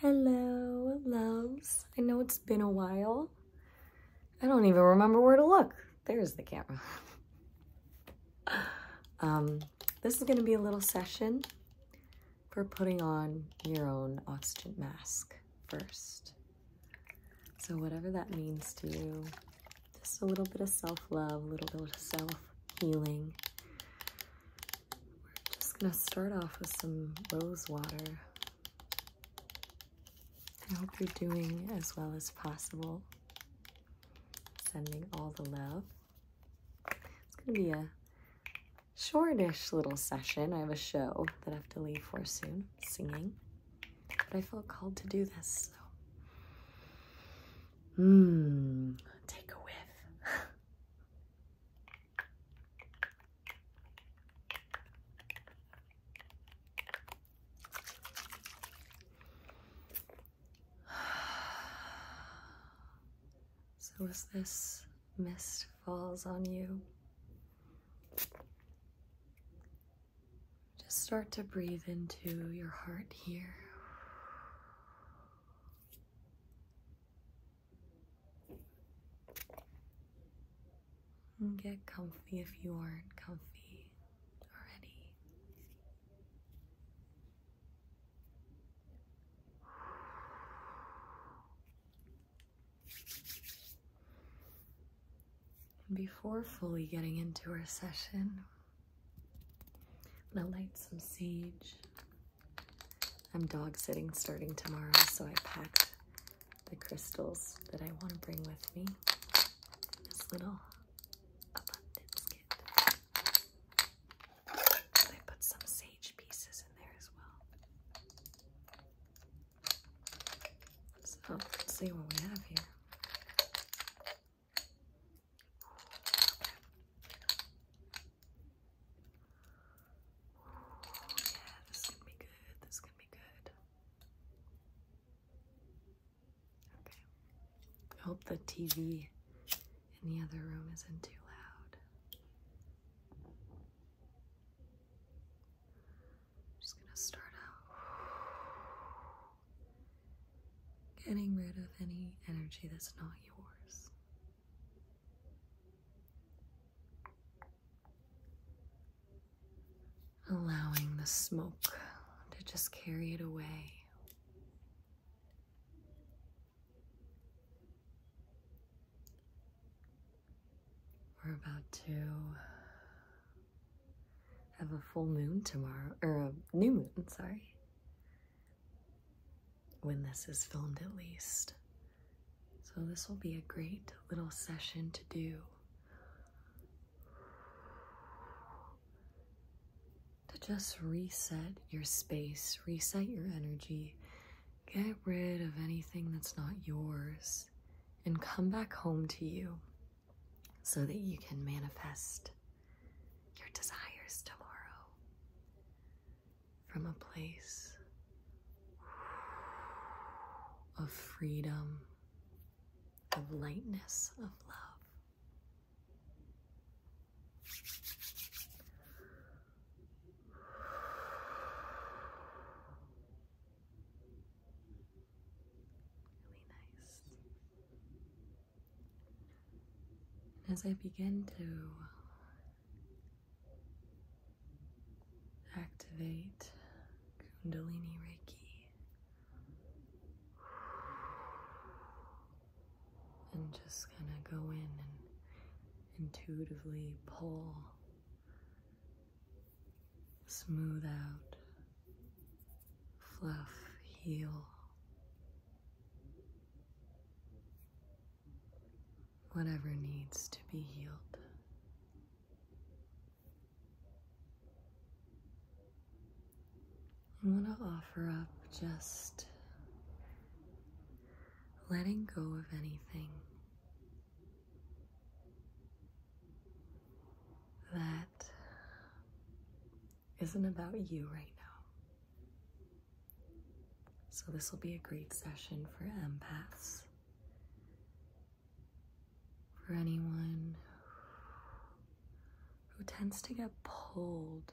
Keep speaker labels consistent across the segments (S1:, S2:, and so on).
S1: Hello, loves. I know it's been a while. I don't even remember where to look. There's the camera. um, this is going to be a little session for putting on your own oxygen mask first. So whatever that means to you, just a little bit of self-love, a little bit of self-healing, we're just going to start off with some rose water. I hope you're doing as well as possible. Sending all the love. It's going to be a shortish little session. I have a show that I have to leave for soon, singing. But I felt called to do this, Hmm. take a whiff. so as this mist falls on you, just start to breathe into your heart here. Get comfy if you aren't comfy already. before fully getting into our session, I'm gonna light some sage. I'm dog sitting starting tomorrow, so I packed the crystals that I want to bring with me. This little abundance kit. I put some sage pieces in there as well. So see what we have here. Oh, yeah, this is gonna be good. This is gonna be good. Okay. I hope the TV in the other room isn't too loud. just gonna start out getting rid of any energy that's not yours. Allowing the smoke to just carry it away. We're about to have a full moon tomorrow, or a new moon, sorry when this is filmed, at least. So, this will be a great little session to do to just reset your space, reset your energy, get rid of anything that's not yours, and come back home to you so that you can manifest your desires tomorrow from a place of freedom, of lightness, of love. Really nice. And as I begin to activate Kundalini Reiki and just kind of go in and intuitively pull, smooth out, fluff, heal, whatever needs to be healed. I want to offer up just letting go of anything that isn't about you right now. So, this will be a great session for empaths, for anyone who tends to get pulled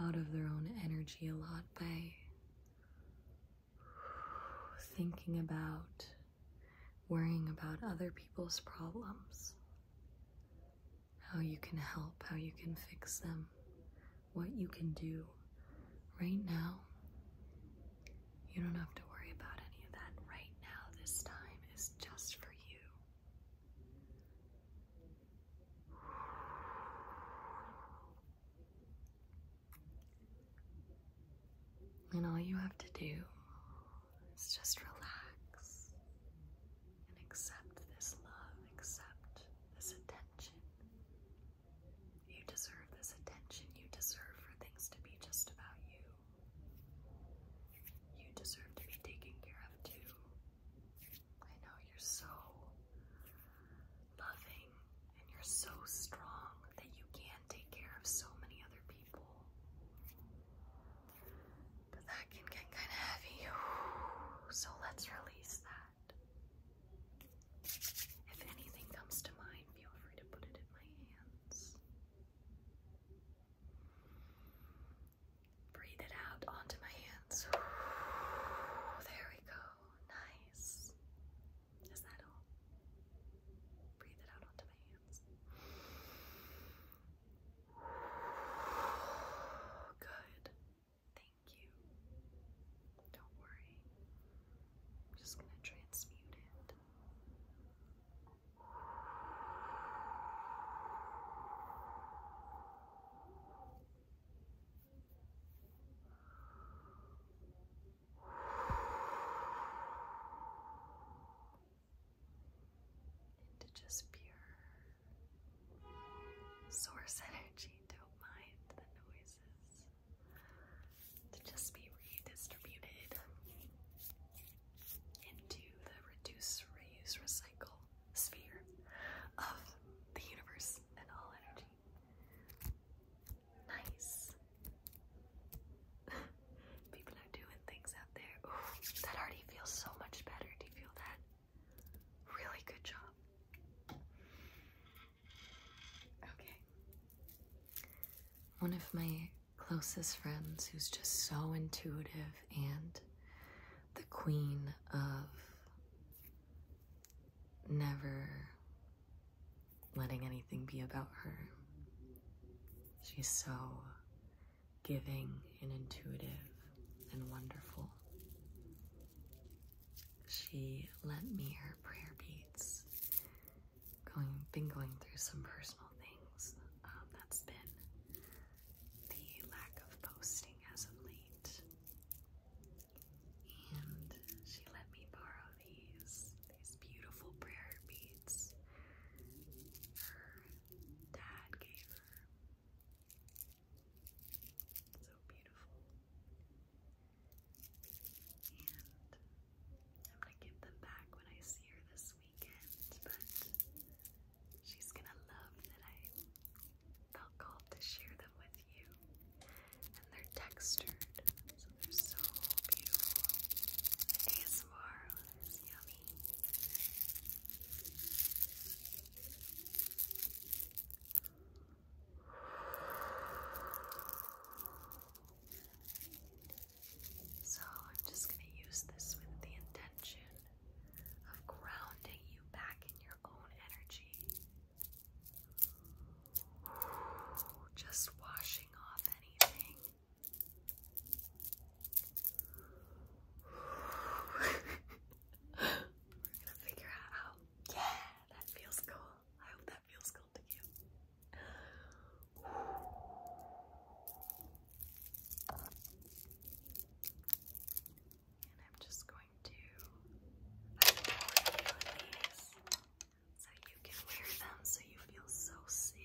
S1: out of their own energy a lot by thinking about, worrying about other people's problems how you can help, how you can fix them, what you can do. Right now, you don't have to worry about any of that. Right now, this time is just for you. And all you have to do is just relax and accept this love, accept this attention. You deserve this attention. You deserve for things to be just about you. You deserve to be taken care of too. I know you're so loving and you're so strong that you can take care of so many other people. But that can get kind of heavy. So let's release that. If anything comes to mind, feel free to put it in my hands. Breathe it out onto my hands. There we go. Nice. Is that all? Breathe it out onto my hands. Good. Thank you. Don't worry. I'm just going to transmute it into just pure source energy. Don't mind the noises to just be redistributed into the reduce, reuse, recycle sphere of the universe and all energy. Nice. People are doing things out there. that already feels so much better. Do you feel that? Really good job. Okay. One of my closest friends who's just so intuitive and the queen of never letting anything be about her. She's so giving and intuitive and wonderful. She lent me her prayer beads. Going, been going through some personal things. Um, that's been the lack of posting as of late. And she let me borrow these these beautiful prayer beads. Her dad gave her so beautiful. And I'm gonna give them back when I see her this weekend, but she's gonna love that I felt called to share them with you. And they're textured, so they're so beautiful. ASMR is So I'm just going to use this with the intention of grounding you back in your own energy. Just washing off anything. We're gonna figure it out. Yeah, that feels cool. I hope that feels cool to you. And I'm just going to put these so you can wear them so you feel so safe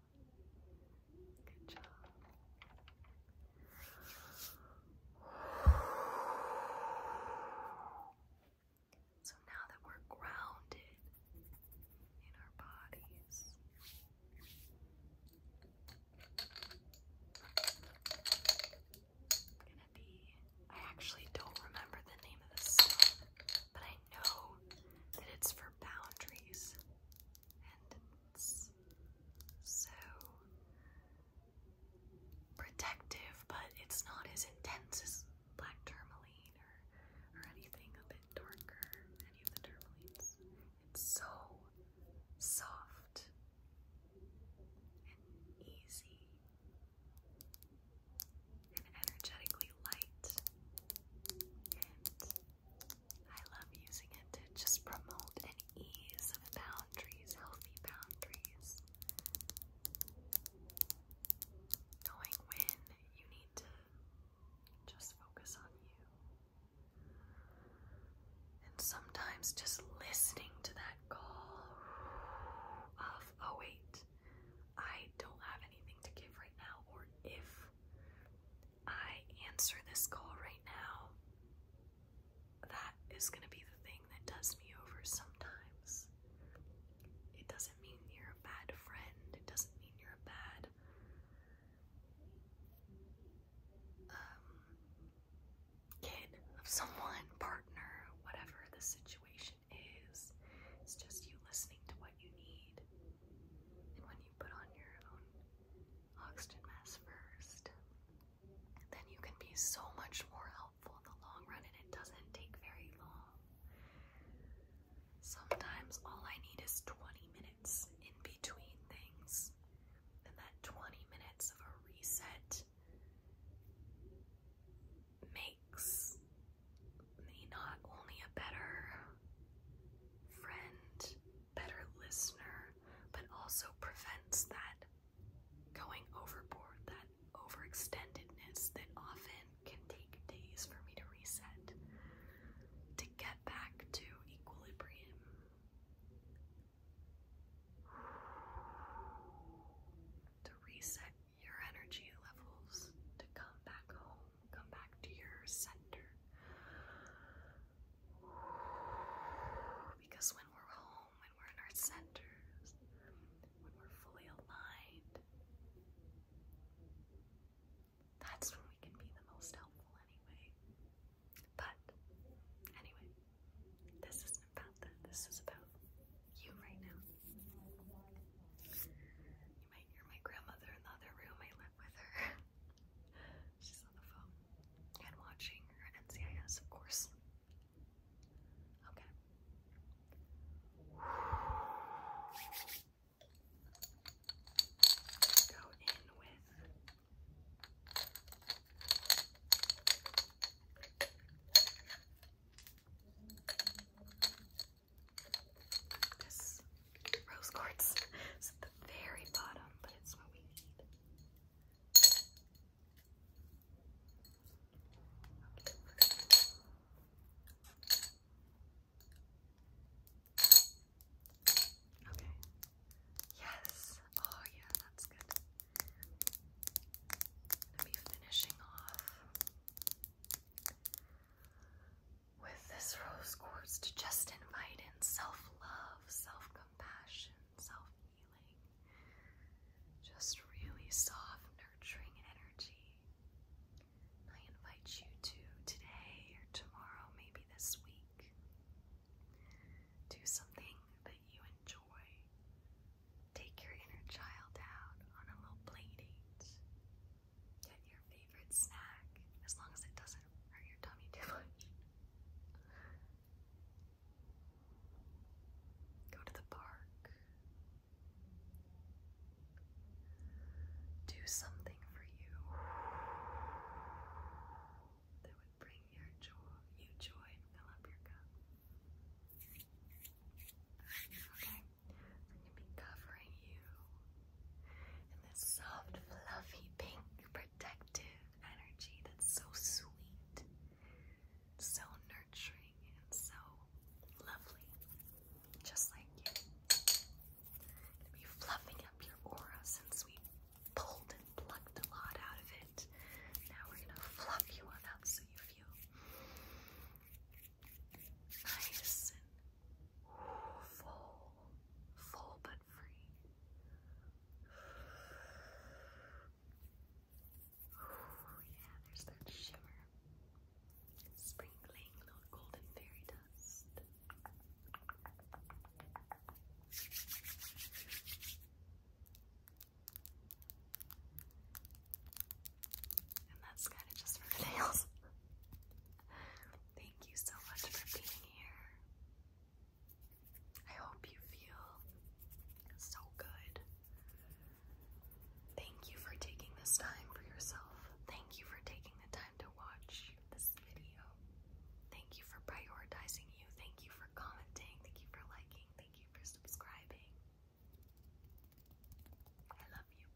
S1: Good job. So now that we're grounded in our bodies, I'm gonna be. I actually don't remember the name of this but I know that it's for boundaries and it's so protective, but it's not as intense as black tourmaline or, or anything a bit darker, any of the tourmalines. It's so soft and easy and energetically light I love using it to just promote an ease of boundaries, healthy boundaries. Knowing when you need to just focus on you. And sometimes just listening to that call of, oh wait, I don't have anything to give right now, or if I answer this call right now, that is going to be the thing that does me over sometimes. It doesn't mean you're a bad friend, it doesn't mean you're a bad um, kid of someone, partner, whatever the situation is. It's just you listening to what you need. And when put on your own oxygen mask first, then you can be so much more helpful in the long run, and it doesn't take very long. Sometimes all I need is 20 minutes in between things, and that 20 minutes of a reset makes me not only a better friend, better listener, but also prevents that going overboard, that overextendedness that often can take days for me to reset, to get back to equilibrium. To reset your energy levels, to come back home. Come back to your center. Because when we're home, when we're in our centers, when we're fully aligned, that's when we can be the most helpful anyway. But anyway, this isn't about that. This is about you right now. You might hear my grandmother in the other room. I live with her. She's on the phone and watching NCIS, of course. Okay rose quartz is at the very bottom, but it's what we need. Okay. Yes. Oh yeah, that's good. I'm finishing off with this rose quartz to just invite in self-love, self-compassion, self-healing. Just really soft, nurturing energy. I invite you to today or tomorrow, maybe this week, do something that you enjoy. Take your inner child out on a little playdate. Get your favorite snack, as long as it doesn't hurt your tummy too much. Go to the park. Do something for you that would bring your joy, you joy, and fill up your cup. Okay, I'm gonna be covering you and this soft, fluffy, pink, protective energy that's so sweet, so nurturing, and so lovely, just like you. To be fluffing up your aura since we pulled and plucked a lot out of it. Now we're gonna fluff you up so you feel nice and full full but free. Oh, yeah, there's that shimmer. Sprinkling little golden fairy dust. And that's kind of just for the nails. Thank you so much for being here. I hope you feel so good. Thank you for taking this time for yourself. Thank you for taking the time to watch this video. Thank you for prioritizing you. Thank you for commenting. Thank you for liking. Thank you for subscribing. I love you.